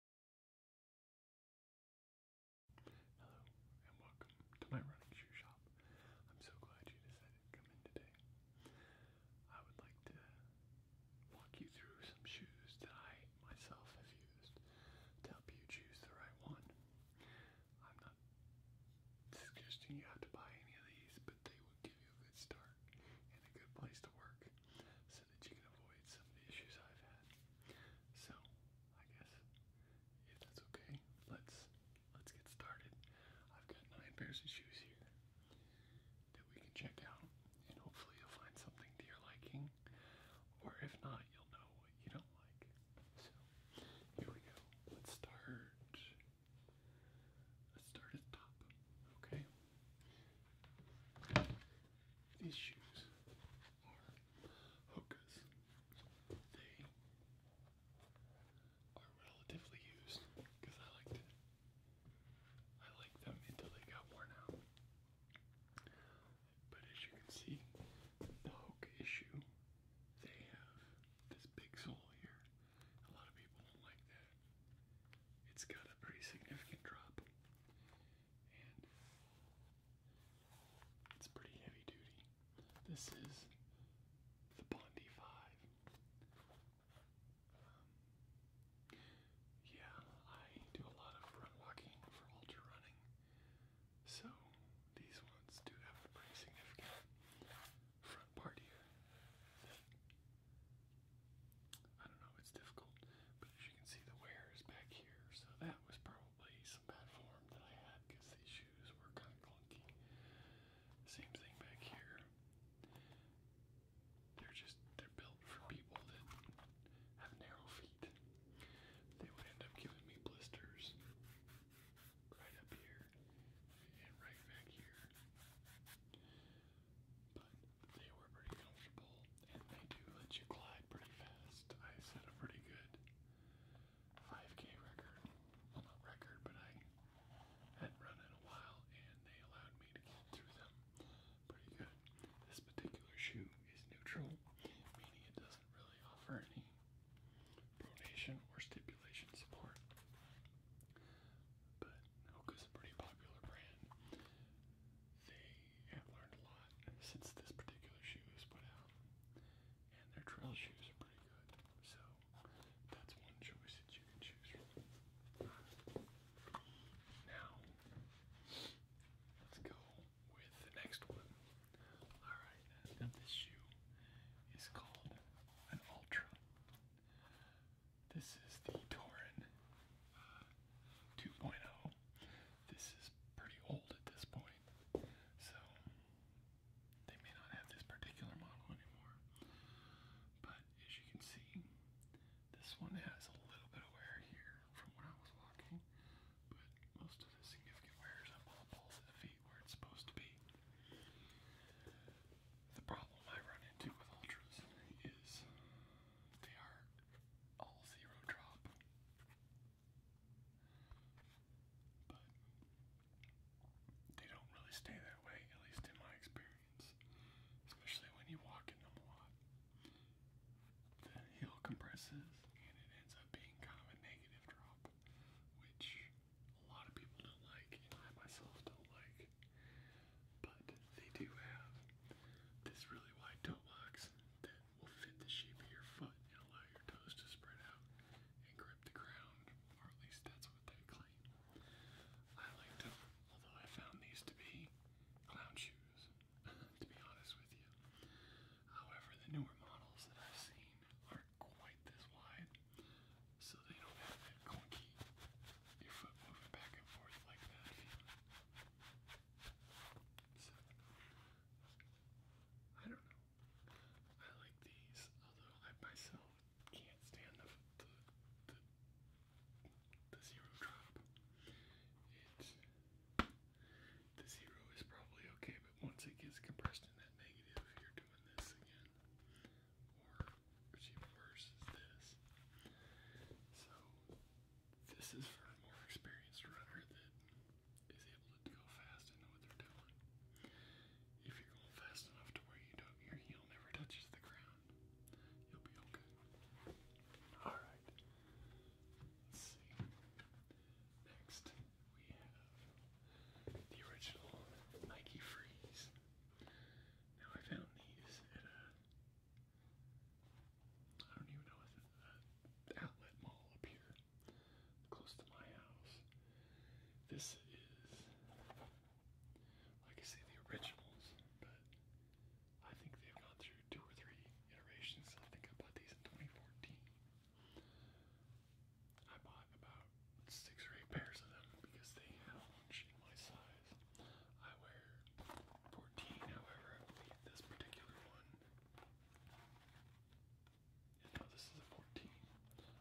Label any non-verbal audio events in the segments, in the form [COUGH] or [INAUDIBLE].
Hello and welcome to my running shoe shop. I'm so glad you decided to come in today. I would like to walk you through some shoes that I myself have used to help you choose the right one. I'm not suggesting you have to buy any of these, but they will give you a good start and a good place to work so that you can avoid some of the issues I've had. So I guess if that's okay, let's let's get started. I've got nine pairs of shoes here that we can check out and hopefully you'll find something to your liking. Or if not, you'll know what you don't like. So here we go. Let's start let's start at the top. Okay. These shoes are hookahs. They are relatively used because I like to I like them until they got worn out. But as you can see, the hook issue, they have this big sole here. A lot of people don't like that. It's got a pretty significant drop it's pretty heavy duty. This is the Bondi 5. Um, yeah, I do a lot of run walking for ultra running, so these ones do have a pretty significant front part here. I don't know, it's difficult. But as you can see, the wear is back here, so that was probably some bad form that I had because these shoes were kind of clunky. Same thing back here. They're just they're built for people that have narrow feet. They would end up giving me blisters right up here and right back here. But they were pretty comfortable and they do let you glide pretty fast. I set a pretty good 5K record. not record, but I hadn't run in a while, and they allowed me to get through them pretty good. This particular shoe is neutral, meaning it doesn't really offer any pronation or stipulation support. But Hoka's a pretty popular brand. They have learned a lot since this particular shoe was put out. And their trail shoes are pretty good. So that's one choice that you can choose Now, let's go with the next one. Alright, now this shoe is called an Ultra. This is the Torin uh, 2.0 this is pretty old at this point, so they may not have this particular model anymore. But as you can see, this one has a little bit of wear here from when I was walking, but most of the significant wear is up on the balls of the feet where it's supposed to be. The problem I run into with Ultras is they are all zero drop. But they don't really stay that way, at least in my experience. Especially when you walk in them a lot. The heel compresses and it ends up being kind of a negative drop, which a lot of people don't like, and I myself don't like. But they do have this really wide toe box will fit the shape of your foot and allow your toes to spread out and grip the ground, or at least that's what they claim. I like them, although I found these to be clown shoes, [LAUGHS] to be honest with you. However, the newer models that I've seen aren't quite this wide, so they don't have that clunky, your foot moving back and forth like that I don't know. I like these, although I myself can't stand the the zero drop. It's the zero is probably okay, but once it gets compressed in that negative, if you're doing this again, or even worse is this. So this is for a more experienced runner that is able to go fast and know what they're doing. If you're fast enough to where you your heel never touches the ground, you'll be okay. All right. Let's see. Next, we have the original Nike Freeze. Now I found these at a I don't even know outlet mall up here close to my house. This is like I say the originals, but I think they've gone through two or three iterations. I think I bought these in 2014. I bought about six or eight pairs of them because they launch in my size. I wear 14, however, this particular one and this is a 14.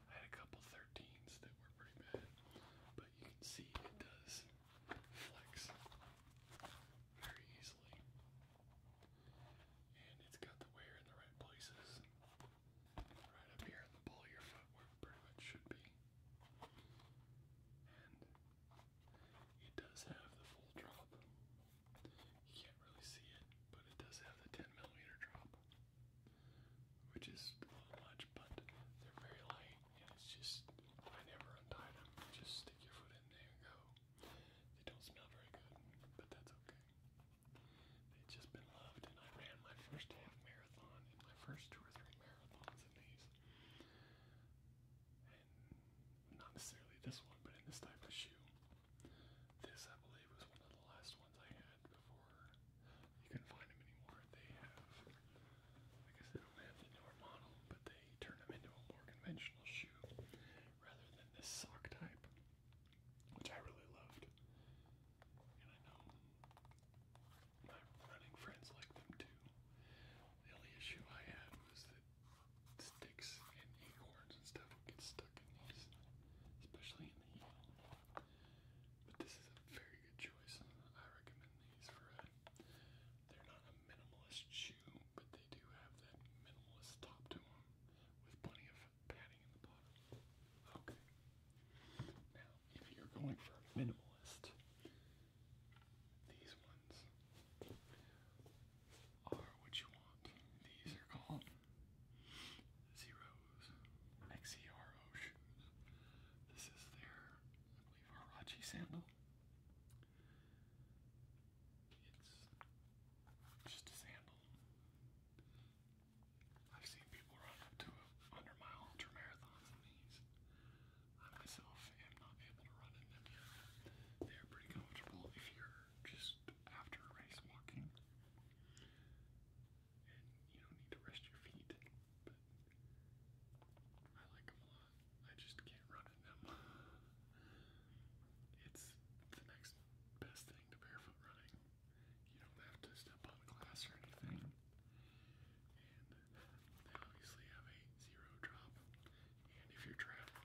I had a couple 13s that were pretty bad, but you can see it does flex very easily. And it's got the wear in the right places. Right up here in the ball of your foot where it pretty much should be. And it does have the full drop. You can't really see it, but it does have the 10 millimeter drop, which is a little much, but they're very light, and it's just I never untie them. Just stick your foot in there and go. They don't smell very good, but that's okay. They've just been loved, and I ran my first half marathon my first two or three marathons in these. And not necessarily this one, but in this type of shoe. This, I believe, was one of the last ones I had before you could find them anymore. They have, I guess they do have the newer model, but they turn them into a more conventional shoe rather than this sock type, which I really loved. And I know my running friends like them too. The only issue I had was that that sticks and acorns and stuff will get stuck in these, especially in the heel. But this is a very good choice. I recommend these for a, they're not a minimalist shoe, but they do have that minimalist top to them with plenty of padding in the bottom. Okay. Now, if you're going for a minimalist, these ones are what you want. These are called XERO shoes. This is their, I sandal. It's just a sandal. I've seen people run up mile ultra marathons in these. I myself am not able to run in them yet. They're pretty comfortable if you're just after a race walking. And you don't need to rest your feet, but I like them a lot. I just can't run in them. It's the next best thing to barefoot running. You don't have to step on glass or anything. And they obviously have a zero drop. And if you're traveling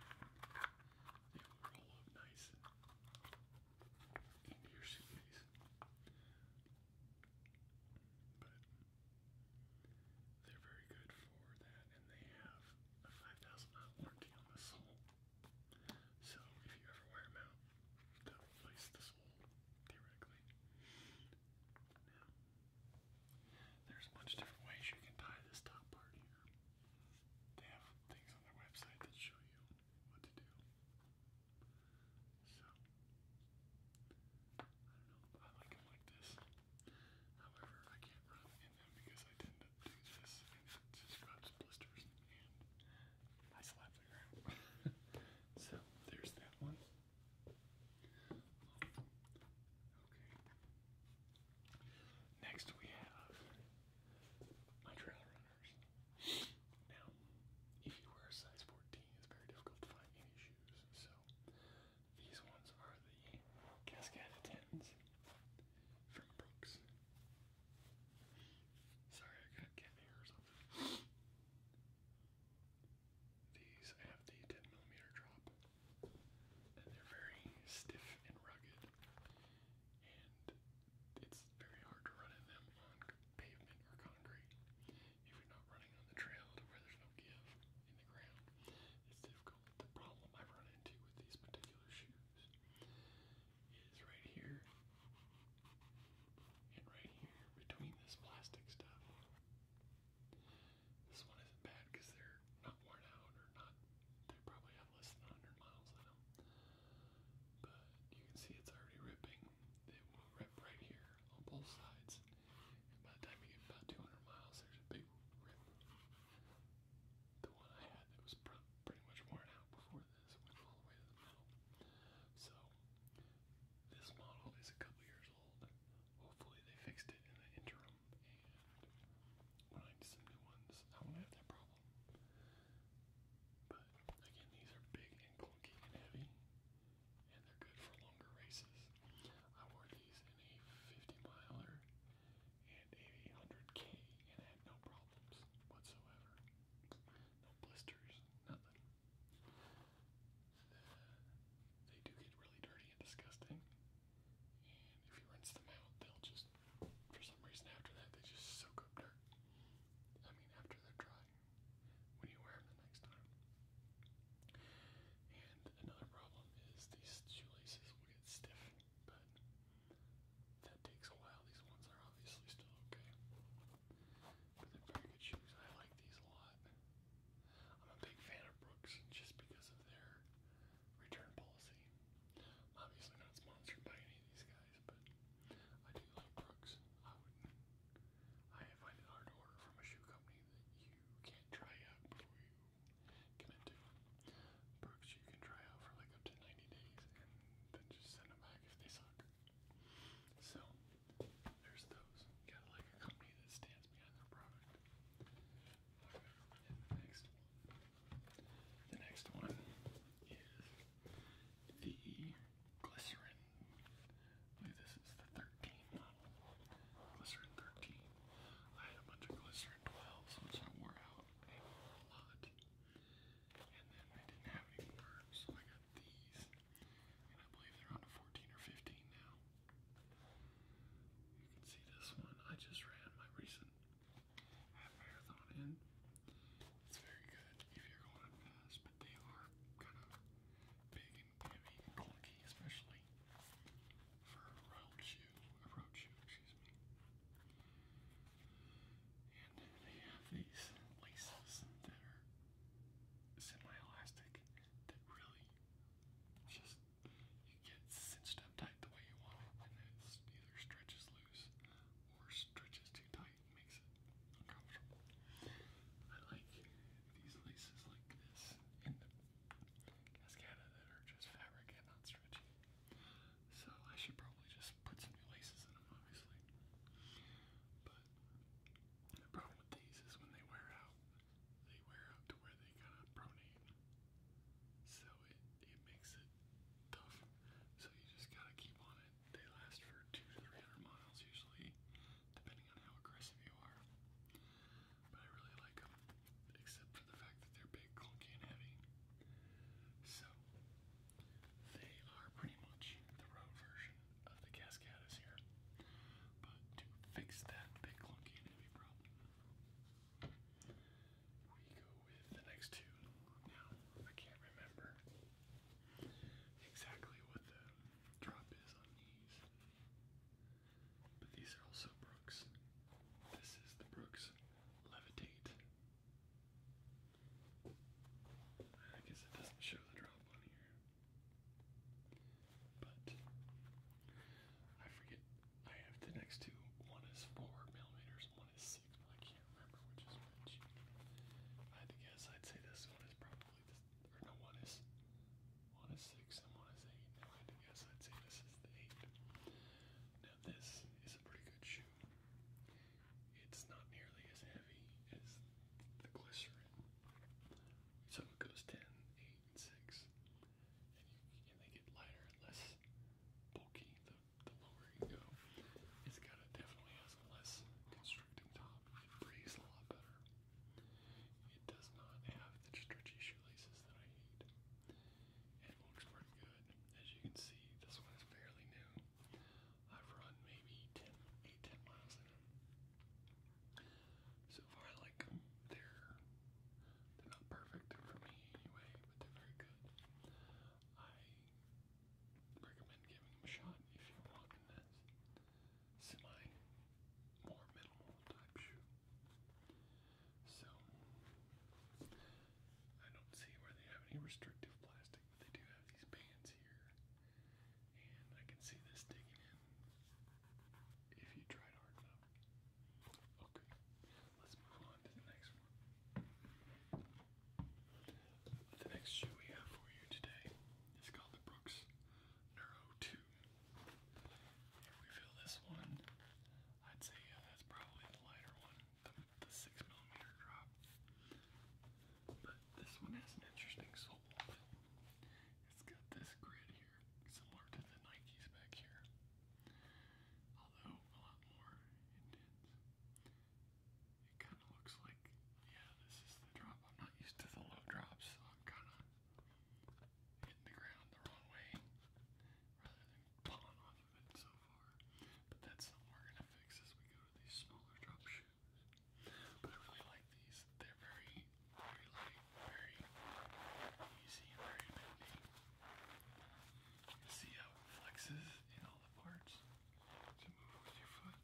it will roll up nice into your suitcase. But they're very good for that, and they have a 5,000 mile warranty on the sole. So if you ever wear them out, they'll replace the sole theoretically. there's a bunch of different ways you can tie this top part here they have things on their website that show you what to do. So, I don't know, I like them like this. However, I can't run in them because I tend to do this and it just grabs blisters and I slap the ground. [LAUGHS] so, there's that one. Okay. Next we have my trail runners. Now, if you wear a size 14, it's very difficult to find any shoes. So these ones are the Cascada 10s from Brooks. Sorry, I got cat hair These have the 10mm drop, and they're very stiff and rugged and it's very hard to run in them on pavement or concrete. If you're not running on the trail where there's no give in the ground, it's difficult. The problem I've run into with these particular shoes is right here and right here between this plastic stuff. This one isn't bad because they're not worn out or not, they probably have less than 100 miles on but you can see it's already ripping. It will rip right here on both sides. by the time you get about 200 miles, there's a big rip. The one I had that was pretty much worn out before this went all the way to the middle. So this model is a couple years old. Hopefully they fixed it in the interim when I need some new ones, I won't have that problem. But again, these are big and clunky and heavy, and they're good for longer races. I wore these in a 50 miler and a k and had no problems whatsoever. No blisters, nothing. Uh, they do get really dirty and disgusting, if you rinse them out, they'll just, for some reason after that, they just soak up dirt. I mean, after they're dry, when you wear them the next time. And another problem is these shoelaces will get stiff, but that takes a while. These ones are obviously still okay. But they're very good shoes. I like these a lot. I'm a big fan of Brooks just because of their return policy. obviously not sponsored by any of these guys, but I do like Brooks. I wouldn't. I hard order from a shoe company that you can't try out before you commit to. Brooks, you can try out for like up to 90 days and then just send them back if they suck. So, there's those. Gotta like a company that stands behind their product. next the next one is the Glycerin. I believe this is the 13 model. Glycerin 13. I had a bunch of Glycerin 12s, which I wore out a lot. And then I didn't have any more, so I got these. And I believe they're on to 14 or 15 now. You can see this one. I just ran my recent half marathon in. It's very good if you're going fast, but they are kind of big and heavy especially for a road shoe, a road shoe, excuse me. And they have these laces that are semi-elastic that really just you get cinched up tight the way you want and it either stretches loose or stretches too tight makes it uncomfortable. I like these laces like this in the Cascada that are just fabric and not stretchy. So I should probably just put some new laces in them, obviously. But the problem with these is when they wear out, they wear out to where they kind of pronate. So it, it makes tough. So you just gotta keep on it. They last for two to three hundred miles usually, depending on how aggressive you are. But I really like them, except for the fact that they're big, clunky, and heavy. So they are pretty much the road version of the Cascadas here. But to fix that big, clunky, and heavy problem, we go with the next two. Now, I can't remember exactly what the drop is on these, but these are also Brooks. This is the Brooks Levitate. I guess it doesn't show the drop on here, but I forget. I have the next two. One is four millimeters, one is signal. I can't remember which is which. I had guess. I'd say this one is probably this, or no one is one is six and one is eight. Now I guess. I'd say this is the eight. Now this is a pretty good shoe. It's not nearly as heavy as the glycerin. So it goes 10, 8, 6. And, you, and they get lighter and less bulky the lower you go. It's got a definitely has a less constricting top. It breathes a lot better. It does not have the stretchy shoelaces that I hate. It looks pretty good. As you can see, this one is fairly new. I've run maybe 10, miles in them. So far, I like them. They're, they're not perfect for me anyway, but they're very good. I recommend giving them a shot if you're walking that semi more minimal type shoe. So I don't see where they have any restrictive plastic, but they do have these bands here. And I can see this digging in if you tried hard enough. Okay let's move on to the next one. The next shoe we have for you today is called the Brooks Neuro 2. If we feel this one, I'd say yeah, that's probably the lighter one, the, 6mm drop. But this one has an interesting sole. It's got this grid here, similar to the Nikes back here, although a lot more intense. It kind of looks like, yeah, this is the drop. I'm not used to the low drops, so I'm kind of hitting the ground the wrong way rather than pulling off of it so far. But that's something we're going to fix as we go to these smaller drop shoes. But I really like these. They're very, very light, very easy, very bendy. see how it flexes in all the parts to move with your foot.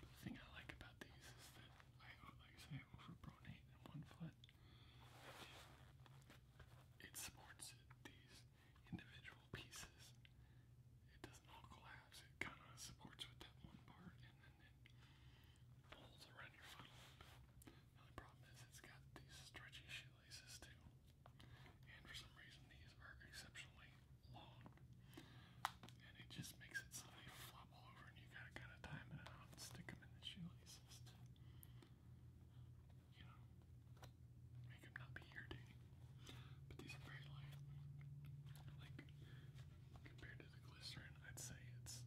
But the thing I like about these is that I, like I say, I overpronate in one foot. It supports it, these individual pieces. It doesn't all collapse. It kind of supports with that one part, and then it holds around your foot a little bit. The only problem is it's got these stretchy shoelaces too. And for some reason, these are exceptionally long. And it just makes it so they flop all over, and you gotta kind of time it out and stick them in the shoelaces to, you know, make them not be irritating. But these are very light. Like, compared to the glycerin, I'd say it's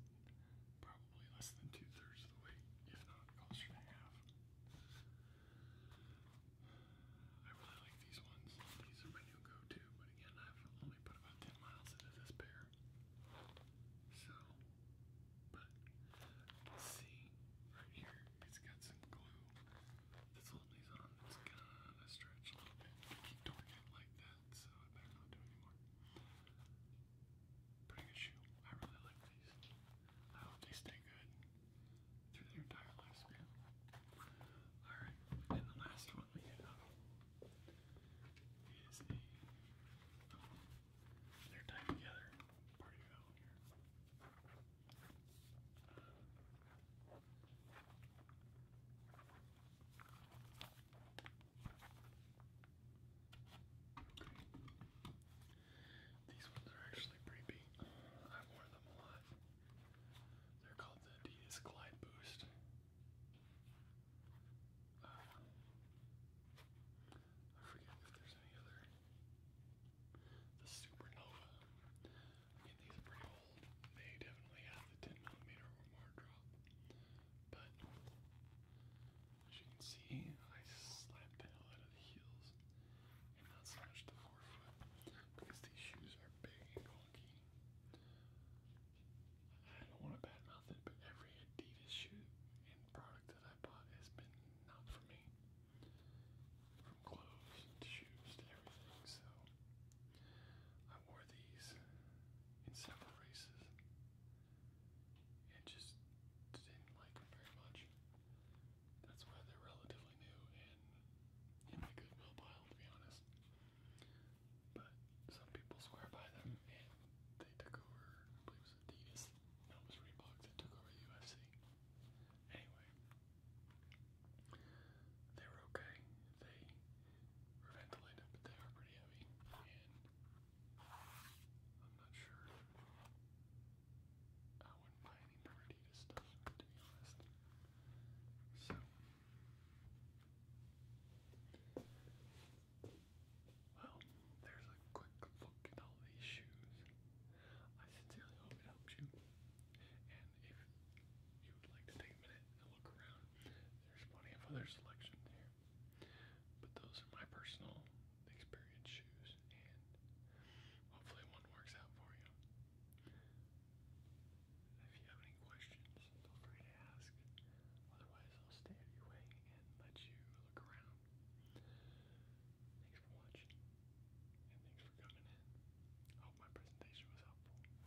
probably less than two thirds of the weight, if not closer to half. I really like these ones. These are my new go-to, but again, I've only put about 10 miles into this pair. So, but see, right here, it's got some glue that's holding on. It's gonna stretch a little bit. I keep doing like that, so I better not do anymore. Pretty good shoe. I really like these. I hope they stay good through their entire lifespan. Alright, and the last one we have is a. Oh, they together. Part of here. These ones are actually pretty big. I wore them a lot. They're called the Adidas Glide Boost. Uh, I forget if there's any other. The Supernova. I mean, these are pretty old. They definitely have the 10 millimeter or more drop. But as you can see, I slapped the out of the heels and not so the forefoot because these shoes are big and clunky. I don't want to badmouth it, but every Adidas shoe and product that I bought has been not for me. From clothes to shoes to everything, so I wore these in several races and just didn't like them very much. That's why they're relatively new in the goodwill pile, to be honest. But some people swear by them, hmm. and they took over, I believe it was Adidas, no, was Reebok that took over the UFC. Anyway, they were okay. They were ventilated, but they are pretty heavy, and I'm not sure I wouldn't buy any Perdita stuff, to be honest. So, well, there's a quick look at all these shoes. I sincerely hope it helps you. And if you would like to take a minute and look around, there's plenty of other selections here. But those are my personal experience shoes, and hopefully one works out for you. If you have any questions, feel free to ask. Otherwise, I'll stay out your way and let you look around. Thanks for watching, and thanks for coming in. hope my presentation was helpful.